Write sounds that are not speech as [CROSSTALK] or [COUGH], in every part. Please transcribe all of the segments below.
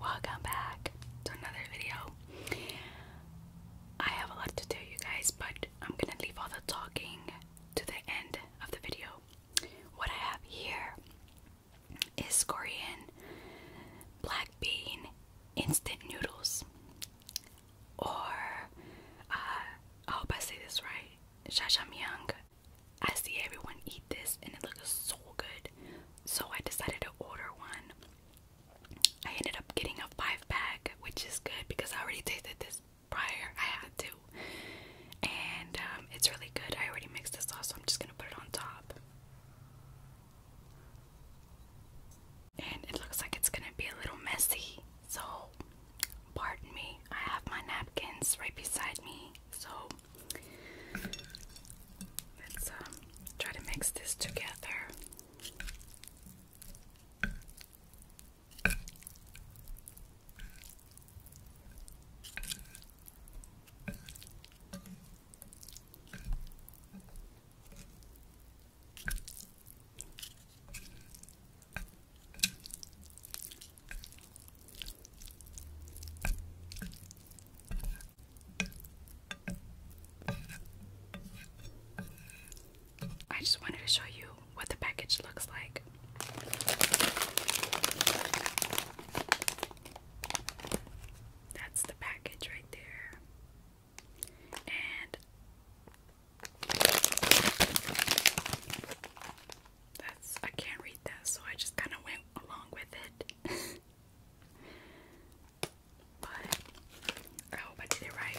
Welcome back to another video. I have a lot to tell you guys, but I'm gonna leave all the talking to the end of the video. What I have here is Korean black bean instant noodles or uh, I hope I say this right, jajangmyeon. I see everyone eat this and it looks so good, so I decided to order one. I ended up getting a five pack, which is good because I already tasted this prior. I had to, and um, it's really good. I already mixed the sauce, so I'm just gonna put it on top and it looks like it's gonna be a little messy, so pardon me. I have my napkins right beside me, so let's um, try to mix this together. I just wanted to show you what the package looks like. That's the package right there. And that's I can't read that, so I just kind of went along with it. [LAUGHS] but I hope I did it right.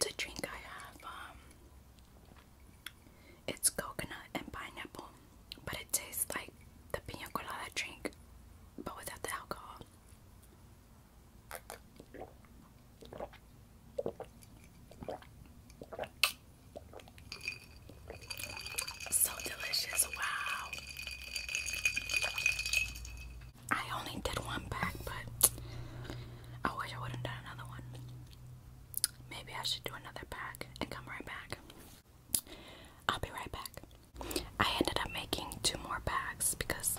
To drink, I have um, it's coconut and pineapple, but it tastes like the pina colada drink, but without the alcohol. So delicious, wow. I only did one pack, but I wish I would have done another one. Maybe I should do another pack and come right back. I'll be right back. I ended up making two more packs because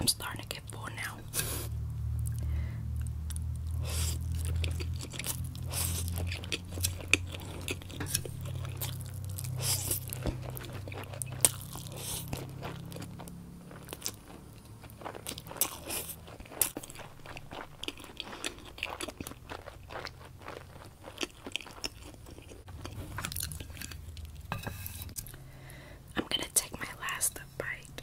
I'm starting to get full now. I'm gonna take my last bite.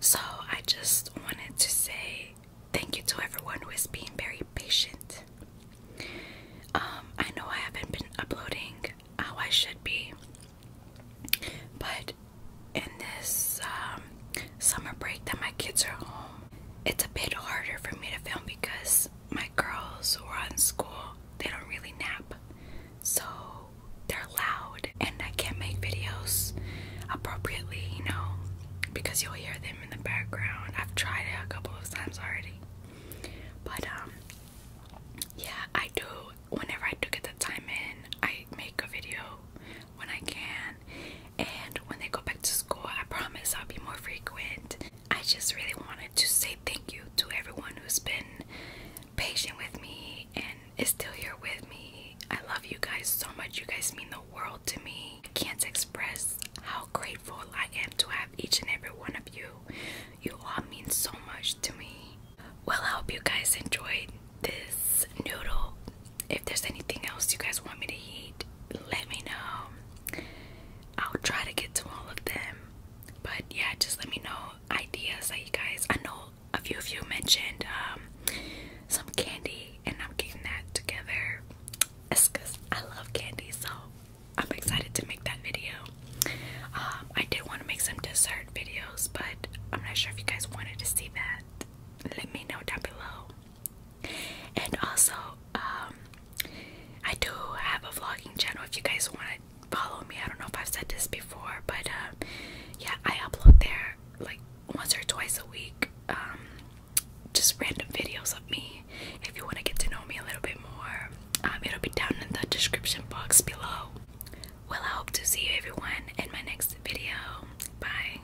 So, I just wanted to say thank you to everyone who is being very patient. Um, I know I haven't been uploading how I should be, but in this um, summer break that my kids are home, it's a bit harder for me to film because my girls who are on school, they don't really nap. So they're loud and I can't make videos appropriately, you know, because you'll hear them in the background. I've tried it a couple of times already. But um yeah, I do whenever I do get the time in, I make a video when I can. And when they go back to I promise I'll be more frequent. I just really wanted to say thank you to everyone who's been patient with me and is still here with me. I love you guys so much. You guys mean the world to me. I can't express how grateful I am to have each and every one of you. You all mean so much to me. Well, I hope you guys enjoyed this noodle if there's anything else you guys want me to eat, let me know. I'll try to get to all of them. But yeah, just let me know ideas that you guys. I know a few of you mentioned um, some candy, and I'm getting that together. It's I love candy, so I'm excited to make that video. Um, I did want to make some dessert videos, but I'm not sure if you guys wanted to see that. Let me know down below. And also, um, I do have a vlogging channel if you guys want to follow me. I don't know if I've said this before, but um, yeah, I upload there like once or twice a week. Um, just random videos of me. If you want to get to know me a little bit more, it'll be down in the description box below. Well, I hope to see you everyone in my next video. Bye.